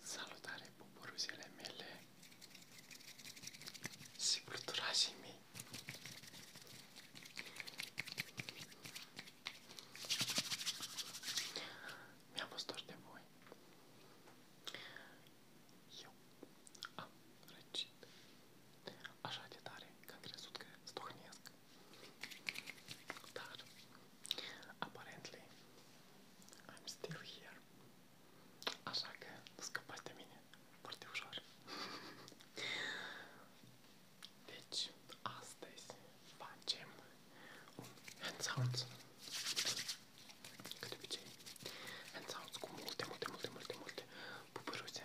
Salutare buburuzele mele și pluturașii mei! Mi-a fost dor de voi. Eu am răcit așa de tare că am crezut că stohnesc. apparently, I'm still here. Așa că nu scapați de mine foarte ușor. deci, astăzi facem un hand sounds. Ca de obicei, hand sounds cu multe, multe, multe, multe, multe pupăruse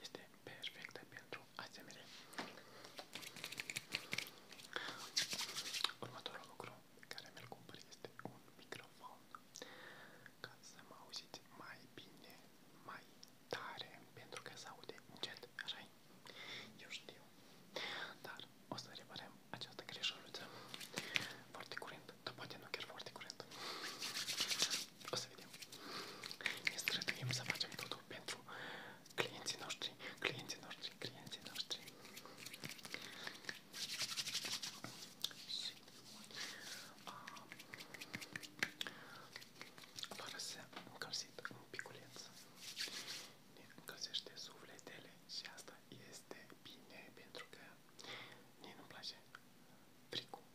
Este perfectă pentru asemenea. Următorul lucru care mi-l cumpăr este un microfon ca să mă auziți mai bine, mai tare, pentru că se aude încet, așa -i? Eu știu. Dar o să reparăm această greșeală foarte curând, dar poate nu chiar foarte curând. O să vedem. Ne străduim să facem totul pentru clienții noștri, clienții noștri, clienții noștri. Și, um, fără să încălzit un piculeț, ne încălzește sufletele și asta este bine pentru că mie nu-mi place fricul.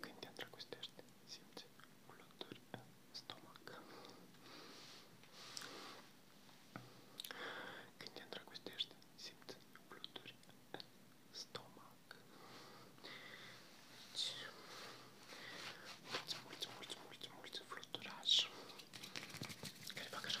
Când te îndrăgostești, simți fluturi în stomac. Când te îndrăgostești, simți fluturi în stomac. Deci, mulți, mulți, mulți, mulți, mulți fluturași care fac așa.